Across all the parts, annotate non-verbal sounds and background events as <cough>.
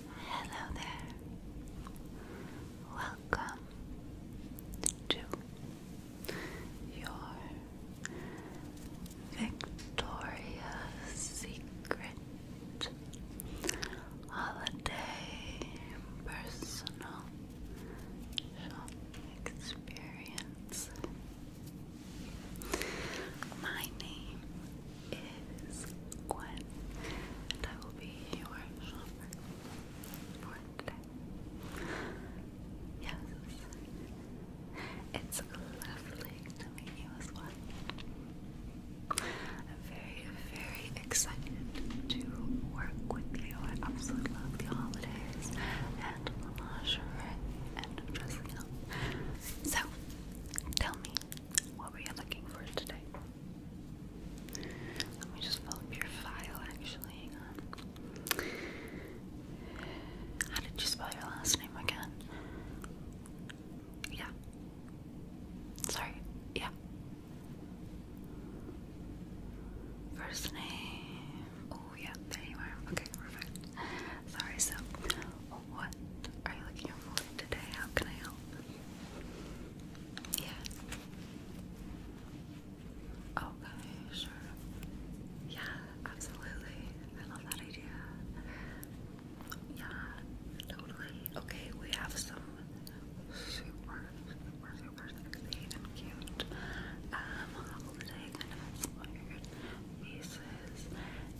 Hello there. Welcome to your Victoria's Secret Holiday Personal Shop Experience. My name is Gwen, and I will be your shopper for today. Yes, it's lovely to meet I'm very, very excited to work with you. I absolutely love the holidays and lingerie and dressing up. So, tell me, what were you looking for today? Let me just pull up your file actually. Hang on. How did you spell your last name again? Yeah. Sorry. Yeah. First name. Oh, yeah, there you are. Okay, perfect. Sorry, so what are you looking for today? How can I help? Yeah. Okay, oh, sure. Yeah, absolutely. I love that idea. Yeah, totally. Okay, we have some super, super, super sexy and cute um, holiday kind of inspired pieces.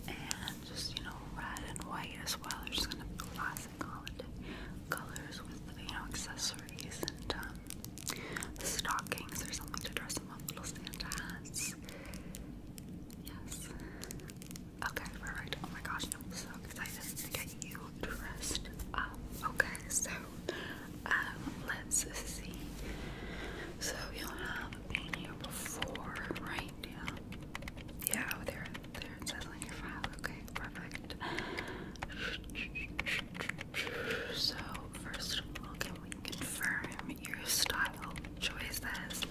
And just, you know, red and white as well. They're just kind of classic colors with, you know, accessories and um, stockings or something to dress them up. Little Santa hats. Yes. Okay, perfect. Oh my gosh, I'm so excited to get you dressed up. Okay, so um, let's see. So you have been here before, right? Yeah. Yeah, there Okay, perfect. So, first of all, can we confirm your style choices?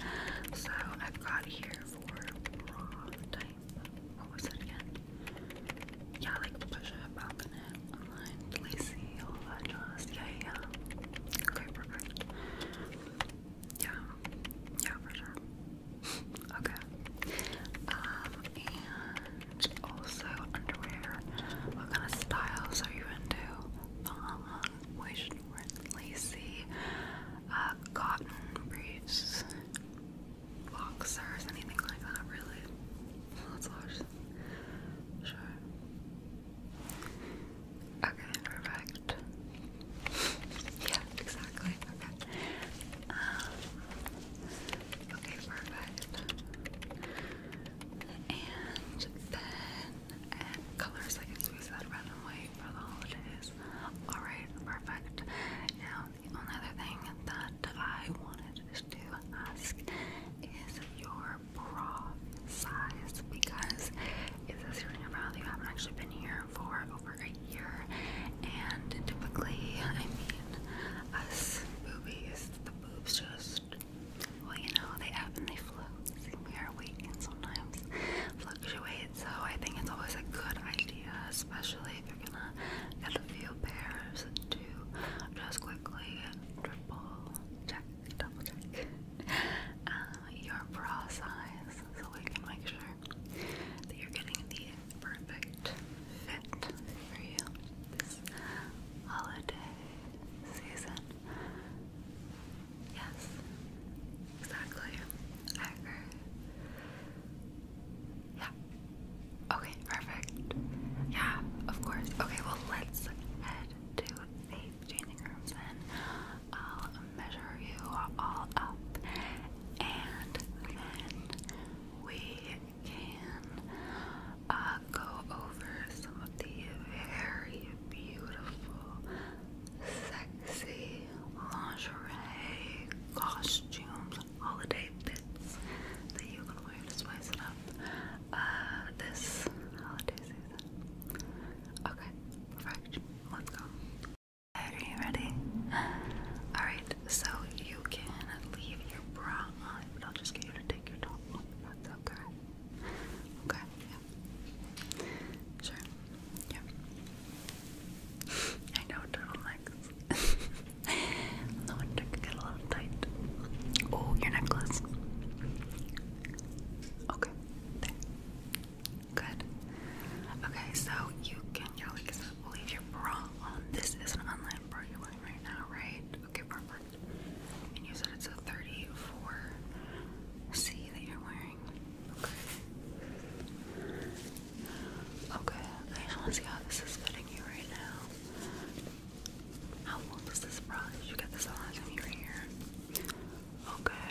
So, I've got here for raw type. What was it again? Yeah, like push up, balcony, online, lacy, all that jazz. yeah, yeah. Okay, perfect. Yeah, yeah, for sure. Okay. Um, and also underwear. What kind of styles are you into? Long, um, moist, lacy, uh, cotton briefs, boxers, anything like that, really. Let's watch. Sure. Okay, perfect yeah, exactly. Okay. Um, okay, perfect. And then colors I guess we said red for the holidays. Alright, perfect. Now the only other thing that I wanted to ask is your bra size because it says here in your you haven't actually been here for over a year, and typically, I mean, us boobies, the boobs just, well, you know, they happen, they flow. See, we are weak and sometimes fluctuate, so I think it's always a good idea, especially if you're gonna get a few pairs, and do just quickly triple check, double check. Uh, your bra size so I can make sure that you're getting the perfect fit for you this holiday season. Yes, exactly. I agree. Yeah. Okay, perfect. Yeah, of course. Okay, well, let's head to the changing rooms then. I'll measure you all up and then we can uh, go over some of the very beautiful, sexy lingerie costumes, holiday bits that you can wear to spice it up uh, this holiday season. Okay, perfect. Let's go. Are you ready? Alright, so you can leave your bra on, but I'll just get you to take your top That's okay. Okay, yeah. Sure. Yeah. I know turtlenecks. no wonder can get a little tight. Oh, your necklace. Okay. There. Good. Okay, so you can your like leave your bra This is an online bra you're wearing right now, right? Okay, perfect. And you said it's a 34C that you're wearing. Okay. Okay, I want to see how this is fitting you right now. How old is this bra? Did you get this the last you were here? Okay.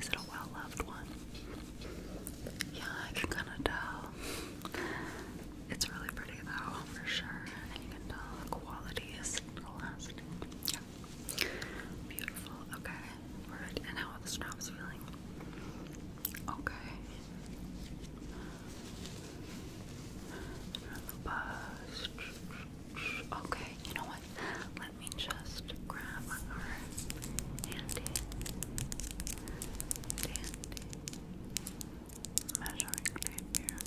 Is it a well-loved one? Yeah, I can kind of tell. It's really pretty though, for sure. And you can tell the quality is lasting. Yeah. Beautiful. Okay. Alright. And how are the straps feeling? Okay. The bust. Okay, you know what? Let me just just grab our handy, dandy measuring tape here.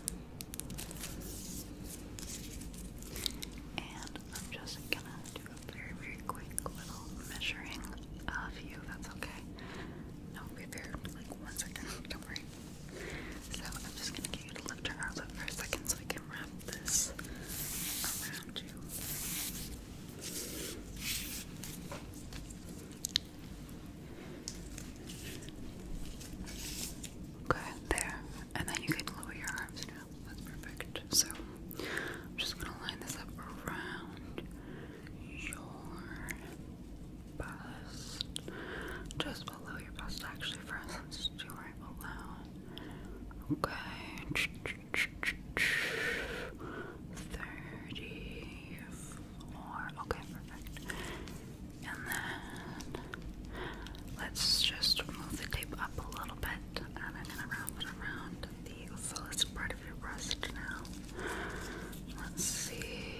And I'm just gonna do a very, very quick little measuring of you, that's okay. No, be fair, like one second, don't worry. So I'm just gonna get you to lift your arms up for a second so I can wrap this around you. Okay, there. And then you can lower your arms now. That's perfect. So I'm just gonna line this up around your bust. Just below your bust actually first. Let's do right below. Okay. 34. Okay, perfect. And then let's just move the tape up a little bit, and I'm gonna wrap it around the fullest part of your breast now. Let's see.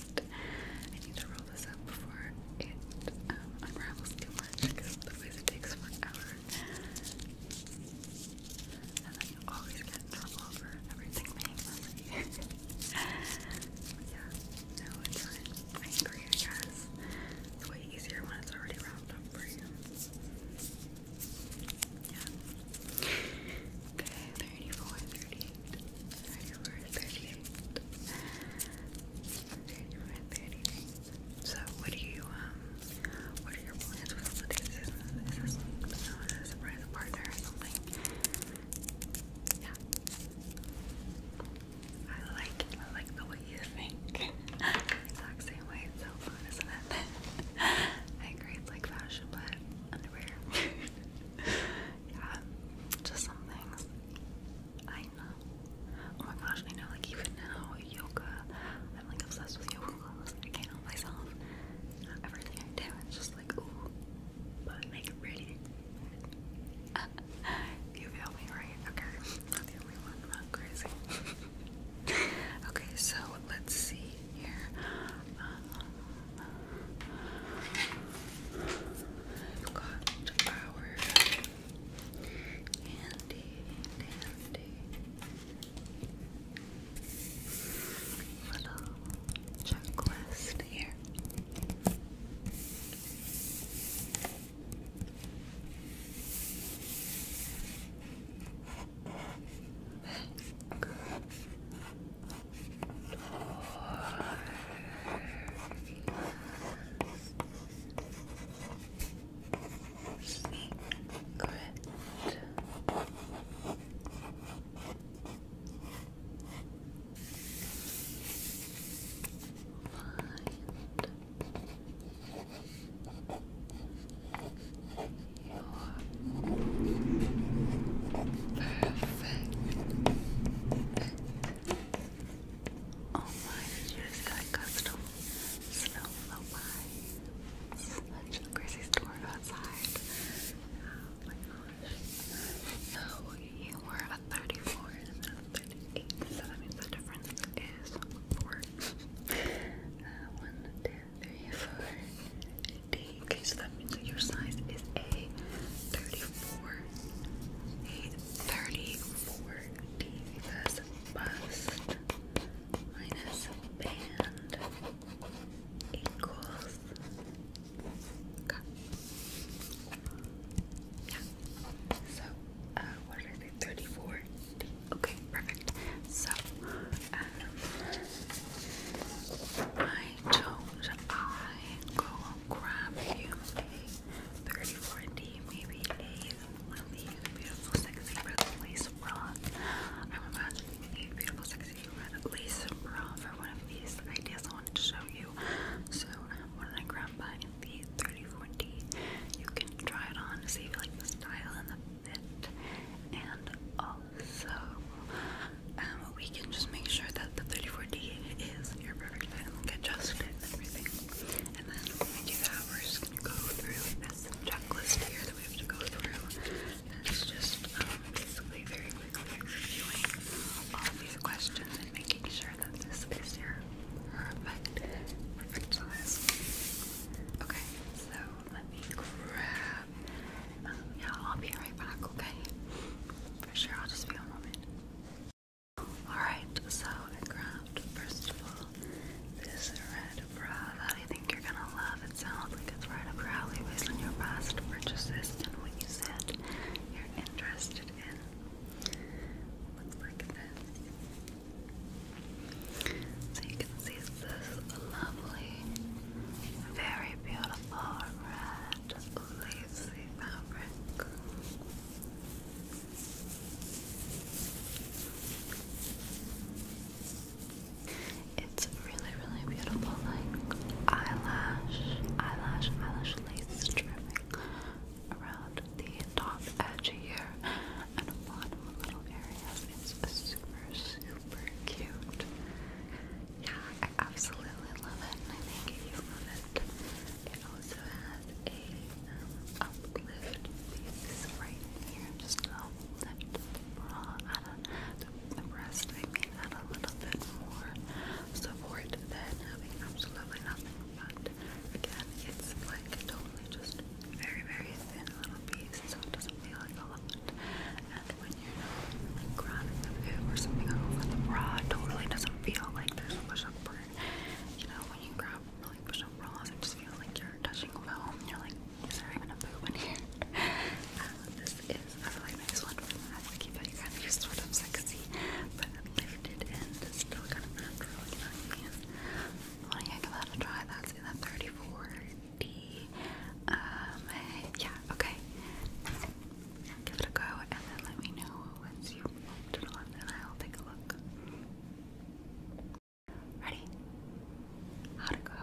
right. I need to roll this up before it um, unravels too much because otherwise it takes forever. And then you always get in trouble for everything being messy. <laughs> yeah, no, it's fine. I agree, I guess. It's way easier when it's already wrapped up for you. Yeah. Okay, 34, 38. So what do you um what are your plans with all of Is this, a surprise partner or something? Yeah. I like I like the way you think. <laughs> exact same way so fun, isn't it? <laughs> I agree it's like fashion but underwear. <laughs> yeah. Just some things I know. Oh my gosh, I know, like, even now, yoga, I'm like obsessed with yoga clothes. I can't help myself. everything I do, it's just like, ooh, make it pretty. you feel me, right? Okay, not the only one, not crazy. <laughs> okay, so let's see here. Um, I've got our Dandy, dandy. Little checklist here. Door. Secret. Find your perfect Oh my, you just got custom snow flowby. Such a crazy storm outside. Oh my gosh. So you were a 34 and then a 38. So that means the difference is 4. Uh, 1, 2, 3, 4, D. Okay, so that means that your size is a 34 a 34D plus bust minus band equals cut. Yeah. So, what did I say? 34? Okay, perfect. So, um, why I go grab you 34D, maybe a one of these beautiful, sexy red lace bras. I'm imagining a beautiful, sexy red lace bra for one of these ideas I wanted to show you. So, when I grab by the 34D, you can try it on to see if you like the style and the fit. And also, um, we can just make sure that that the 34D is your perfect fit adjusted and everything. And then when we do that, we're just gonna go through this checklist here that we have to go through. And just um, basically very quickly reviewing all these questions and making sure that this is your perfect, perfect Okay, so let me grab. Um, yeah, I'll be right back, okay? For sure, I'll just be a moment. Alright, so I grabbed first of all this red bra that I think you're gonna love. It sounds like it's right up your alley based on your past purchases and what you said you're interested in. Looks like this. So you can see it's this lovely, very beautiful red lacy fabric. It's really, really beautiful, like eyelash, eyelash, eyelash lace trimming around the top edge here and a lot of little areas. It's super, super cute. Yeah, I absolutely love it, I think you love it it also has a um, uplift piece right here, just to uplift the bra, add a, the, breast, I mean, add a little bit more support than having absolutely nothing. But again, it's like totally just very, very thin little piece, so it doesn't feel like a lot. And when you're like grinding the food or something over the bra, it totally doesn't feel like there's a push-up or you know, when you grab really push up rolls, it just feel like you're touching foam. You're like, is there even a boob in here? <laughs> Uh, this is a really nice one for that. I keep kind of sort of sexy, but lifted and still kind of natural. You know what give that a try? That's in the 34D. Um, yeah, okay. Give it a go and then let me know once you move to the left, I'll take a look. Ready? How to go?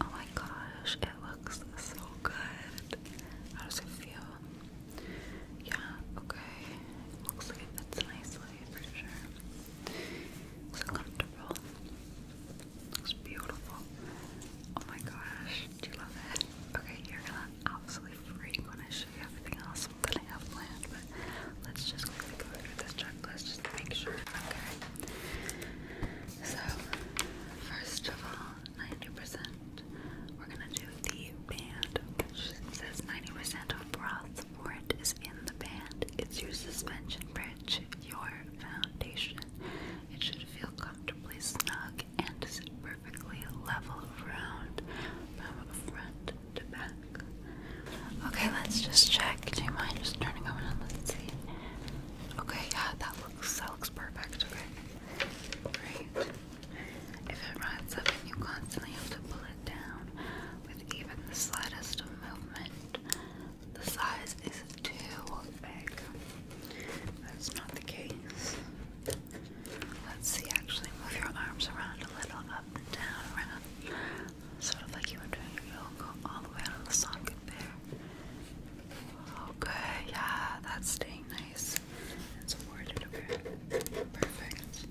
Oh my gosh, it looks so good. How does it feel? Yeah, okay. Looks like it fits nicely for sure. So comfortable. Looks beautiful. Oh my gosh, do you love it? Okay, you're gonna absolutely freak when I show everything else that I have planned, but let's just go through this checklist just to make sure. Okay. So, first of all, 90%. We're gonna do the band, which says 90% of broth support is in the band. It's your suspension bridge, your foundation, it should feel comfortably snug and sit perfectly level around from front to back. Okay, let's just check. Do you mind just turning over and let's see? Okay, yeah, that looks that looks perfect. Okay, great. If it rides up and you constantly have to pull it down with even the slightest of movement, the size is too big. That's not the case. Let's see, actually move your arms around a little, up and down, around. Sort of like you were doing your yoga, all the way out of the socket there. Okay, oh, yeah, that's staying nice. It's worded over. Perfect.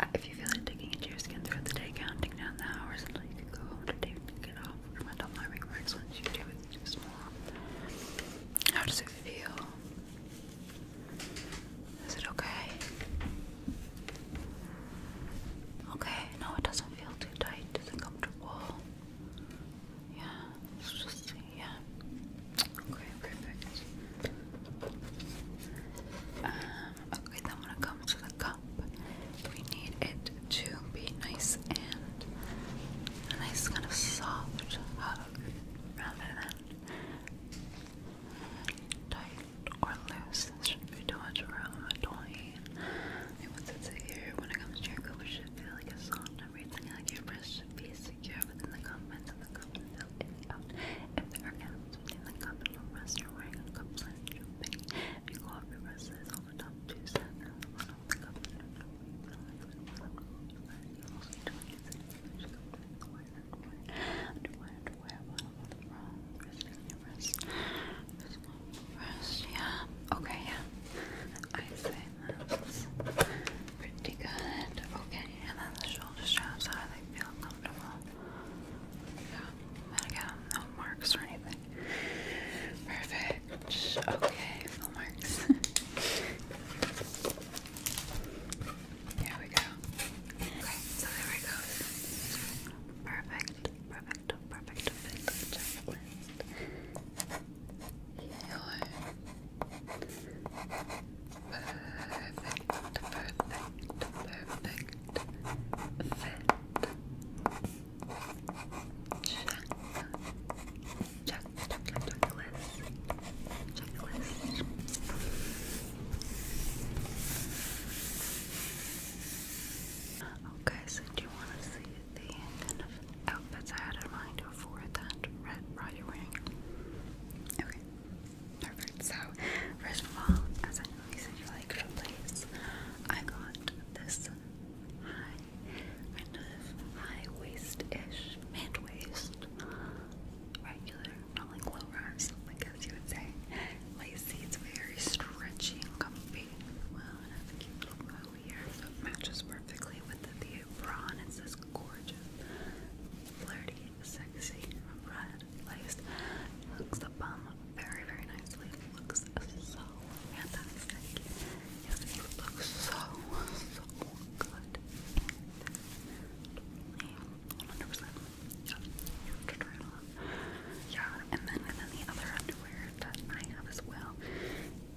Uh, if you feel it digging into your skin throughout the day, counting down the hours until you can go home to take it off, or my ring works once you do it. How does it feel? Is it okay? Okay, no, it doesn't feel too tight, it's uncomfortable. Yeah, yeah. Okay, perfect. Um, okay, then when it comes to the cup, we need it to be nice and a nice kind of soft rather than tight or loose. There shouldn't be too much room between. And once it's here, when it comes to your coat, feel like a soft everything. Like your breast should be secure within the cup and fill it out. If there are gaps within the cup and will rest, you wearing a cup liner. If you go your breast, it's on the top two Rest, yeah. Okay, yeah. I say that's pretty good. Okay, and then the shoulder straps, how do they feel comfortable? Yeah, and again, no marks or anything. Perfect. Okay, full marks. there <laughs> we go. Okay, so there we go. Perfect, perfect, perfect, perfect checklist. Perfect, perfect, perfect Check, checklist. Checklist. Okay, so do you want to see the kind of outfits I had in mind for that red bra you're wearing? Okay, perfect. So, first of all, as I know you said you like shoelace, I got this high, kind of high waist-ish, mid-waist, regular, not like low rise, I guess you would say. Lacy, it's very stretchy and comfy. Well, it has a cute little bow here, so it matches perfectly with the, the bra, and it's this gorgeous, flirty, sexy red lace. hooks the bum very, very nicely. looks so fantastic. Yes, you look so, so good. One hundred percent. Yeah, and then and then the other underwear that I have as well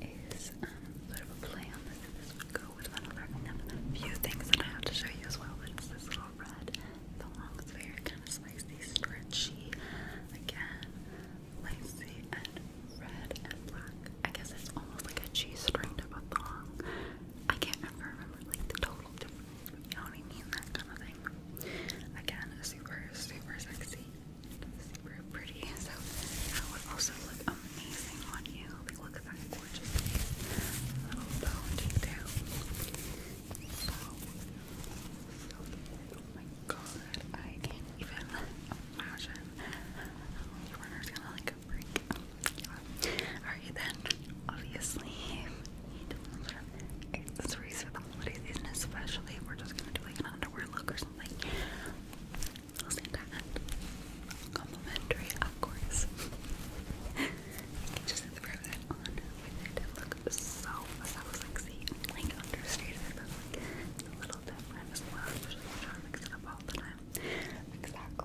is um, of a play on this. This would go with another few things that I have to show you as well. But it's this little red. The long, very kind of spicy, stretchy. Again, lacy and red and black. I guess it's almost like a cheese string type a thong. I can't ever remember like the total difference. You know mean? That kind of thing. Again, super, super sexy, super pretty. So that would also look amazing on you. look at that gorgeous Little bone detail. So, god, I can't even imagine. runners gonna like a break. Yeah. Alright then, obviously, it's the for the holiday especially if we're just gonna do like an underwear look or something. complimentary, of course. just throw that on with look so, so sexy like understated. But, like, I try to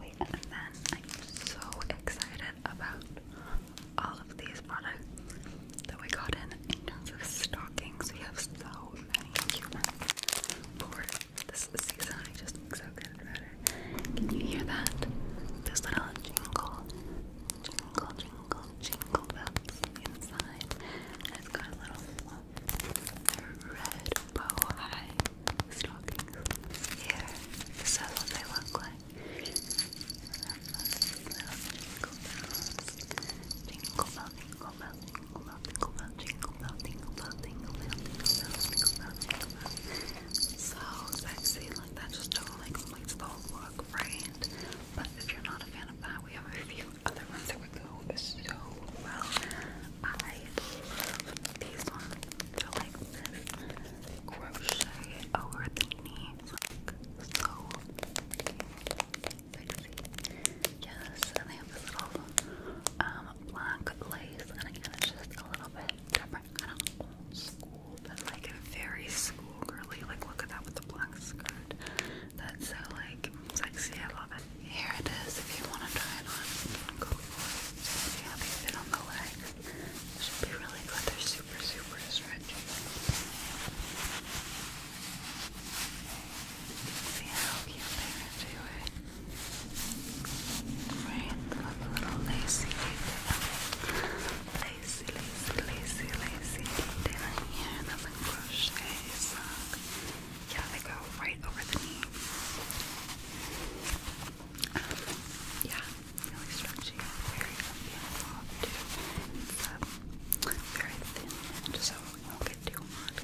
am so excited about all of these products that we got in in terms of stockings. We have so many cute ones for this season. I just so good Can you hear that? Those little jingle, jingle, jingle, jingle bells inside. it's got a little the red bow high stockings here. This is what they look like. And then little jingle bells. Jingle bell, jingle bell, jingle bell, jingle bell, jingle bell, jingle bell, jingle bell, jingle bell, jingle bell, jingle bell. So sexy, like that just totally completes the whole look, right? But if you're not a fan of that, we have a few other ones that would go so well. I love these ones. They're like this crochet over the knee. Like so sexy. Yes, and they have this little um black lace and again it's just a little bit different. Kind of old school, but like very school girly. Like look at that with the black skirt. That's so like sexy. I love it. Here it is. If you want to try it on, go for it. It's gonna fit on the legs. should be really good. They're super, super stretchy. See how cute they are to it. Eh? Right, a little lacy detail. Lacy, lacy, lacy, lacy detail here. That's a crochet sock yeah, they go right over the knee. Um, yeah, really stretchy, very soft too. Um, very thin, so won't get too hot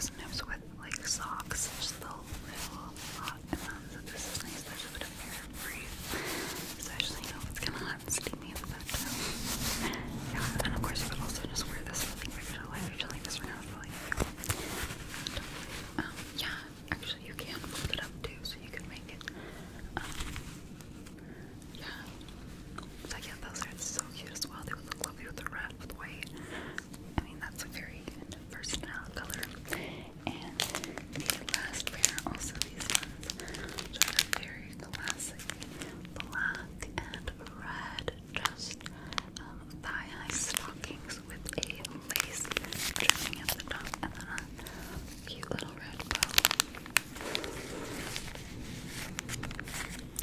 sometimes with like socks, it's a little, little hot. And so this is nice. especially you it's kind of hot and steamy in the back. <laughs> Yeah, and of course you could also just wear this really quick. Oh, um, yeah, actually you can fold it up too, so you can make it. Um, yeah. So yeah, those are so cute as well. They would look lovely with the red, with white. I mean, that's a very versatile color. And the last pair, also these ones, which are very classic, black and red just um, thigh-high stockings with a lace trimming at the top and a cute little red bow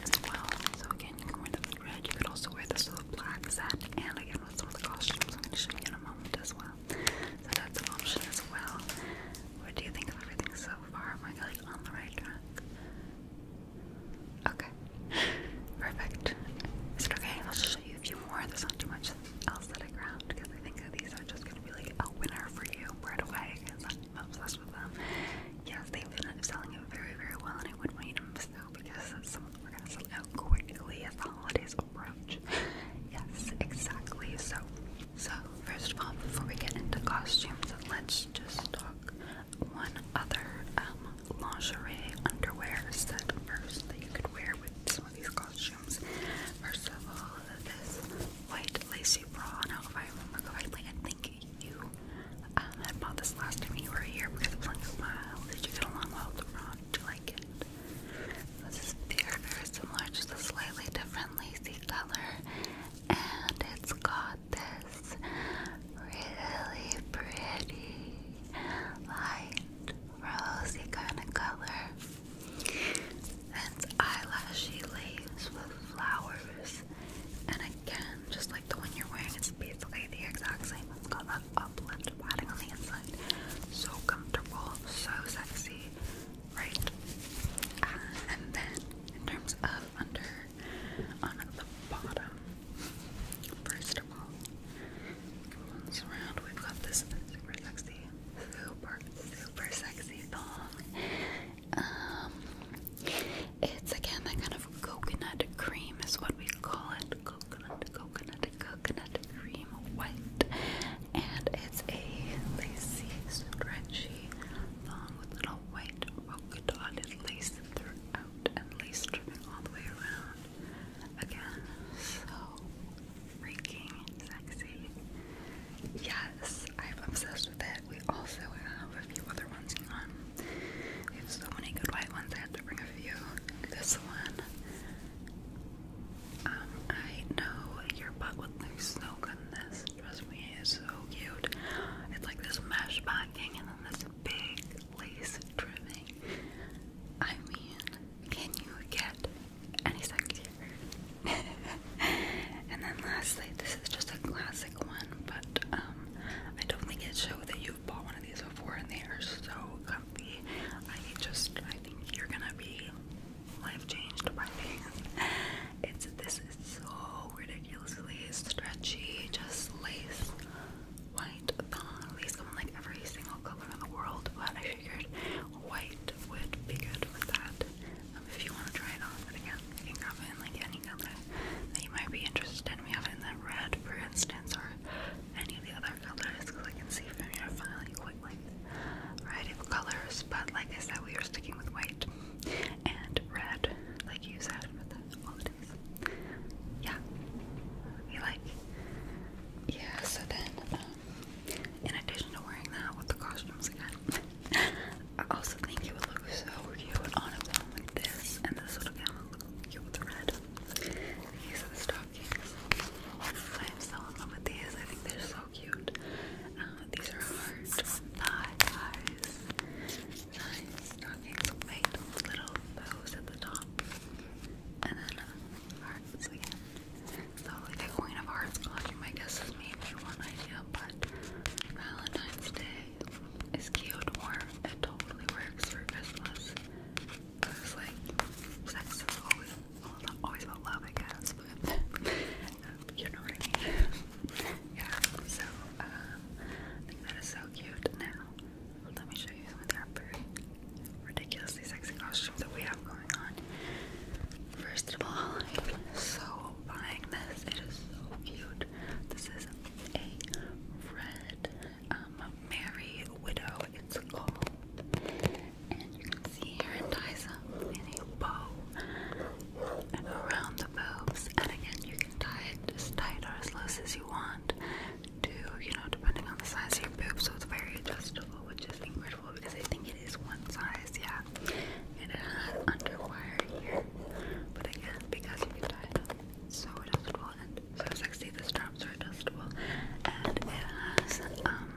as well. So again, you can wear this with red. You could also wear this with black set and again with some of the costumes I'm going to show you in a moment as well. So that's an option as well. What do you think of everything so far? Am I like on the right track? Okay. Perfect. Is it okay? I'll show you a few more. There's not too much else that I grabbed because I think these are just going to be like a winner for you right away I'm obsessed with them. Yes, they've been selling it very, very well, and I would want you to miss because some of are going to sell out quickly as the holidays approach. yes, exactly. So, so first of all, before we get into costumes, let's just talk one other um, lingerie underwear set first that you could wear with some of these costumes. First of all, this white lacy bra. Now, if I remember correctly, I think you um, had bought this last time you were here because it was like a while. Did you get along well with the bra? Did you like it? This is very, very similar, just a slightly different lacy color, and it's got got this really pretty light rosy kind of color. It's eyelashy lace with flowers. And again, just like the one you're wearing, it's basically the exact same. It's got that uplift padding on the inside. So comfortable, so sexy, right? and then in terms of under on the bottom. First of all, around. We've got this super sexy, super, super sexy thong. Um, it's again that kind of coconut cream is what we call it. Coconut, coconut, coconut cream white. And it's a lacy, stretchy thong with little white polka lace throughout and lace trimming all the way around. Again, so freaking sexy. Yes, I'm obsessed with it. We also have a few other ones in We have so many good white ones, I have to bring a few. This one. Um, I know your butt would look so good in this. Trust me, it's so cute. It's like this mesh backing and then this big lace trimming. I mean, can you get any sexier? <laughs> and then lastly, this is just a classic one, but um, I don't think it shows that you've bought one of these before, and they are so comfy. I just, I think you're gonna be life changed by these. It's this is so ridiculously stretchy, just lace white thong lace on like every single color in the world, but I figured white would be good with that. Um, if you want to try it on, but again, it in like any color that you might be interested in. We have it in red, for instance, or any of the other colors, because I see from your file you quite a variety of colors. But like I said, we are sticking with white and red, like you said, with all yeah. You like? Yeah, so then, um, in addition to wearing that with the costumes again, <laughs> I also think it would look so cute on a film like this, and this little gown would cute with the red. These are the stockings. I'm so in love with these. I think they're so cute. Uh, these are heart thigh highs nice stockings with little bows at the top. And then uh, hearts again. So like a Queen of Hearts costume, I guess is maybe one idea, but Valentine's Day is cute or it totally works for Christmas. It's like sex is always, always about love, I guess, but <laughs> you know what I mean yeah, so uh, I think that is so cute. Now, let me show you some of the ridiculously sexy costumes that we have going on. First of all, I'm so buying this. It is so cute. This is a red um, Mary Widow, it's called. And you can see her ties up in a bow around the boobs. And again, you can tie it as tight or as loose as you want to, you know, depending on the size of your boob. So it's very adjustable, which is incredible because I think it is one size, yeah. And it has underwire here. But again, because you can tie it so adjustable and so sexy. The straps are adjustable. And it has, um,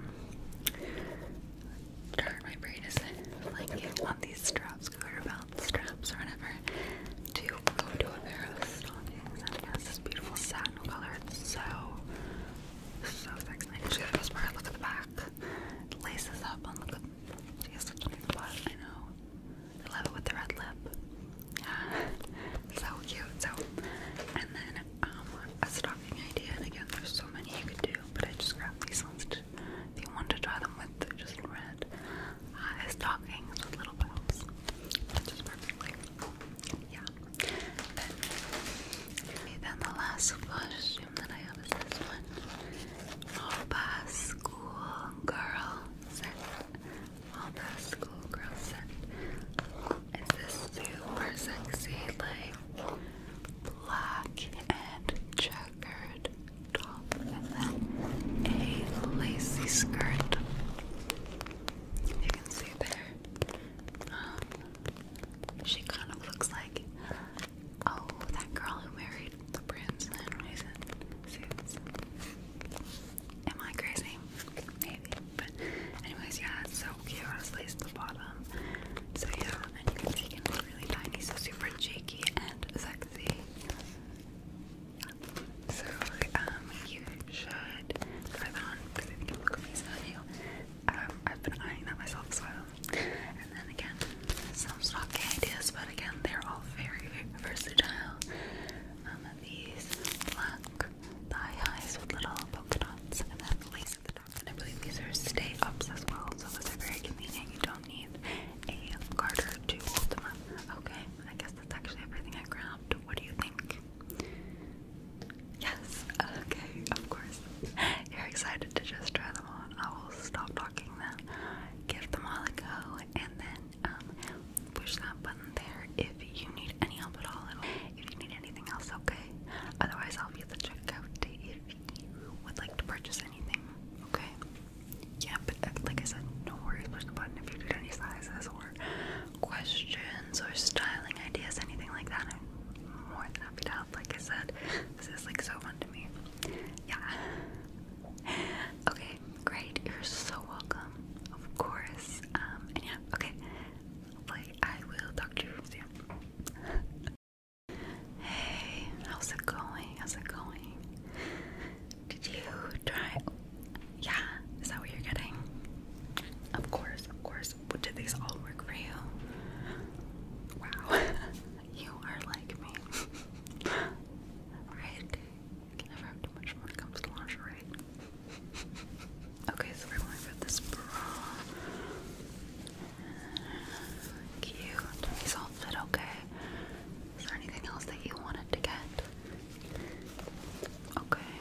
my brain is like, on these straps, garter belt straps or whatever to go to a pair this beautiful satin color. so, so sexy. She got this part, look at the back. laces up look at, she has such a nice butt, I know. I love it with the red lip. Yeah, <laughs> so cute. So, and then um, a stocking idea, and again, there's so many you could do, but I just grabbed these ones if you want to try them with just red stockings with little bells, which is perfectly. Yeah. Then, the last costume that I have is this one. Alba School Set. Alba School Set. It's this super sexy, like, black and checkered top and then a lacy skirt. You can see there. Um, she kind of looks like oh that girl who married the prince and he's Am I crazy? Maybe. But anyways, yeah, it's so cute. It's laced the bottom. So yeah, and you can see it's really tiny, so super cheeky and sexy. So, um, you should try that on because I think it look amazing Um, I've been eyeing that myself as well. And then again, some stocky ideas, but again, they're all very versatile. Um, these black thigh highs with little polka dots and then lace at the top. And I believe these are stay ups as well, so those are very convenient. You don't a garter to hold Okay, I guess that's actually everything I grabbed. What do you think? Yes, okay, of course. You're excited to just try them on. I will stop talking then. Give them all a go and then um, push that button there if you need any help at all. If you need anything else, okay? Otherwise, I'll be at the checkout if you would like to purchase anything, okay? yeah, but uh, like I said, no worries, push the button if you need any sizes or questions or styling ideas, anything like that. I'm more than happy to help. Like I said, this is like so fun to me. Yeah. <laughs> Okay, great. You're so welcome. Of course. Um, yeah, okay. Hopefully, I will talk to you soon. <laughs> Hey, how's it going? How's it going? Did you try? Yeah, is that what you're getting? Of course, of course. did these all work for you? Wow, <laughs> you are like me. <laughs> right? Can never have too much when it comes to lingerie. okay, so we're going for this bra. Cute. These all fit okay. Is there anything else that you wanted to get? Okay.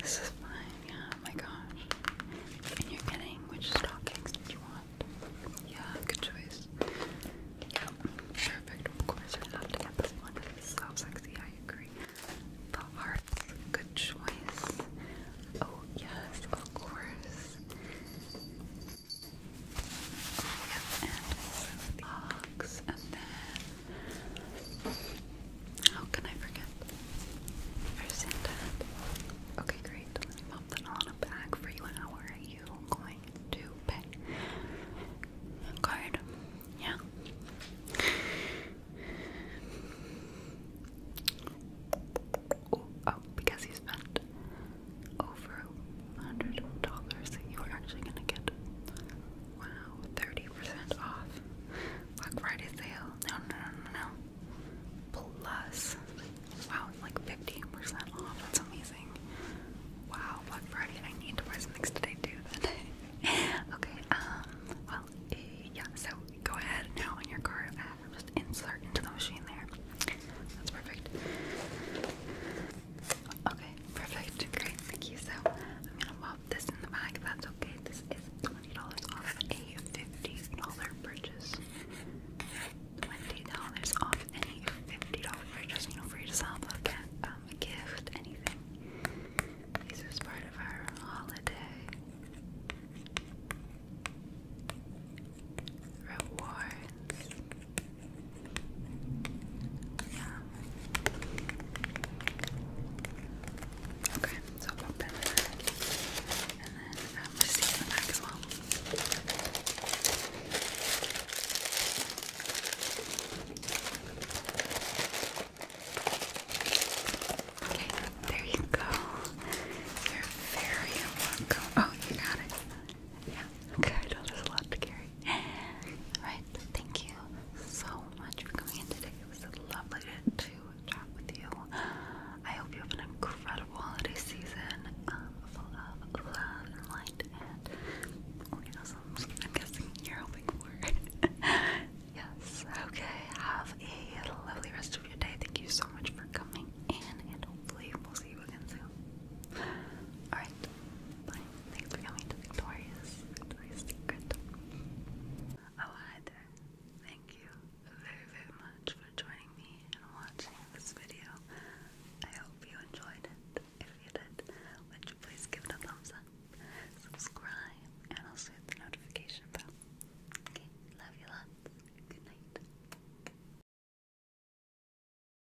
This is fine, yeah, oh my gosh. And you're getting which stockings did you want? Yeah, good choice. Yeah, perfect. Of course, I have to get this one. so sexy, I agree. The hearts, good choice. Oh, yes, of course and the ox, and then how can I forget? Okay, great. Let me pop that in a bag for you. And how are you going to pay? Card, yeah. oh, because you spent over $100, you are actually going to get, wow, 30% off. Black Friday sale. No, no, no, no, Plus, wow, like 15% off. That's amazing. Wow, Black Friday. I need to buy some things today, too. Then. <laughs> okay, um, well, eh, yeah, so go ahead now on your card. am uh, just inserting into the machine there. That's perfect. Okay, perfect. Great, thank you. So I'm gonna pop this in the bag that's okay. This is $20 off a $50 purchase. $20 off any $50 purchase, you know, for yourself, look um, a gift, anything. This is part of our holiday. Rewards. Okay, so pop that in the And then um, we just in the back as well. Okay, there you go. You're very welcome. Oh, you got it. Yeah, okay, I know there's a lot to carry. Alright, <gasps> thank you so much for coming in today. It was lovely to, chat with you. I hope you have an incredible holiday season um, full of love and light and orgasms. Oh, I'm guessing you're hoping for. <laughs> yes, okay, have a lovely rest of your day. Thank you so much for coming in, and hopefully, we'll see you again soon. Alright, bye. Oh, hi there. Thank you very, very much for joining me and watching this video. I hope you enjoyed it. If you did, would you please give it a thumbs up, subscribe, and also hit the notification bell. Okay, love you lots. Good night.